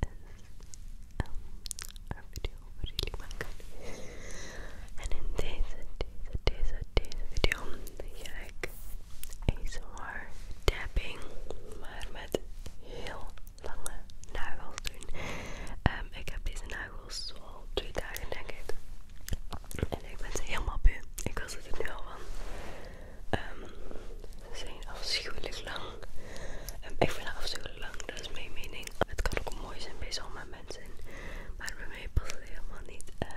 En een video voor jullie maken. En in deze, deze, deze, deze video zie ik ASMR tapping, maar met heel lange nagels doen. ik heb deze nagels al twee dagen denk ik. En ik ben ze helemaal u. Ik wil ze er nu al van. Um, ze zijn afschuwelijk lang. en ehm, ik vind het afschuwelijk lang, dat is mijn mening. Het kan ook mooi zijn bij sommige mensen, maar bij mij past het helemaal niet. Um,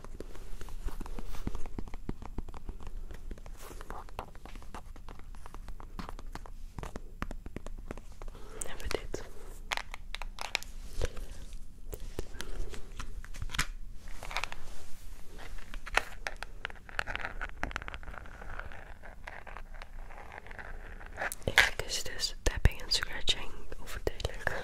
Never did. Ik is dus tapping en scratching overduidelijk.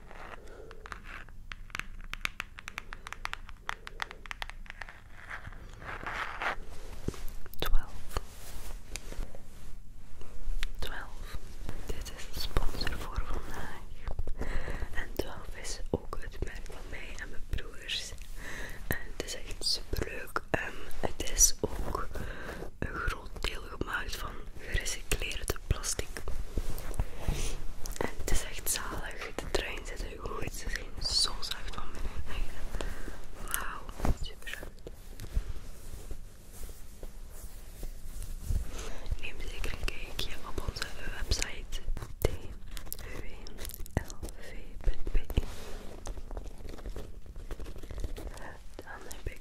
12 12 Dit is de sponsor voor vandaag. En 12 is ook het merk van mij en mijn broers. En het is echt super leuk. En ehm, het is ook een groot deel gemaakt van van plastic. En het is echt zalig. De trein zit er goed. het is zo zacht van binnen. Wauw, super zacht. Neem zeker een kijkje op onze website dwlv.be. Dan heb ik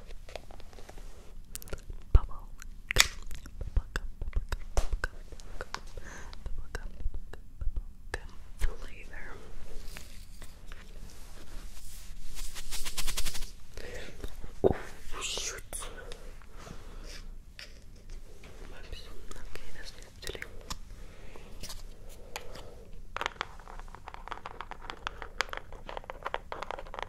Bubble gum, bubble gum, bubble gum, bubble gum, bubble gum, bubble gum, bubble gum flavor. Oh shoot! Oops. Okay, das ist natürlich.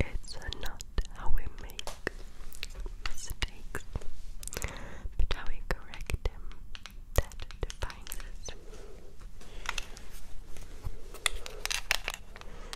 It's not how we make mistakes, but how we correct them that defines us.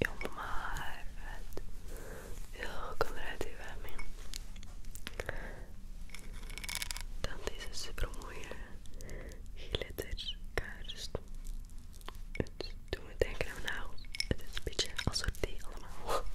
Your marvet. Jag kommer att du är min. Tandis se promoje geletterd kaarst. Het doet me denken aan nou. Het is een beetje als soort allemaal.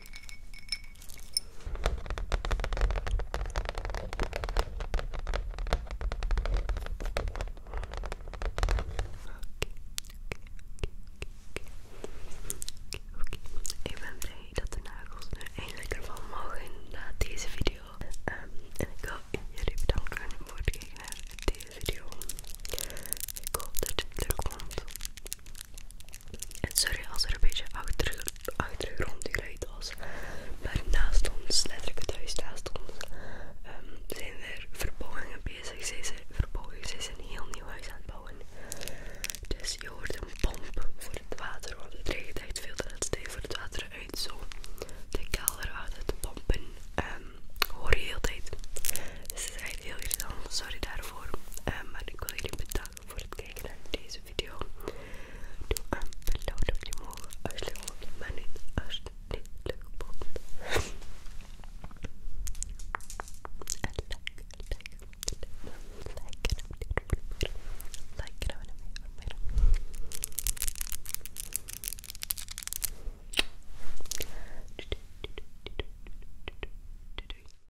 Oké. Ik ben blij dat de nagels er eindelijk van mogen na deze video. Ehm, en ik wil jullie bedanken voor het kijken naar deze video. Ik hoop dat je het leuk vond. En sorry als er een beetje achter, achtergrondgeluid was. Maar naast ons, letterlijk thuis naast ons, ehm, zijn er verbouwingen bezig. Ze zijn ze zijn een heel nieuw huis aan het bouwen. Dus je hoort een pomp voor het water, want het regent echt veel tijd voor het water uit. Zo, de kelder uit de pompen ehm, hoor je heel tijd. Dus het is heel heel irritant, sorry daarvoor. Ehm, maar ik wil jullie bedanken voor het kijken naar deze video. Doe een blauw duimpje omhoog als je leuk vond, maar niet als je het niet leuk vond. En like, like, like, like en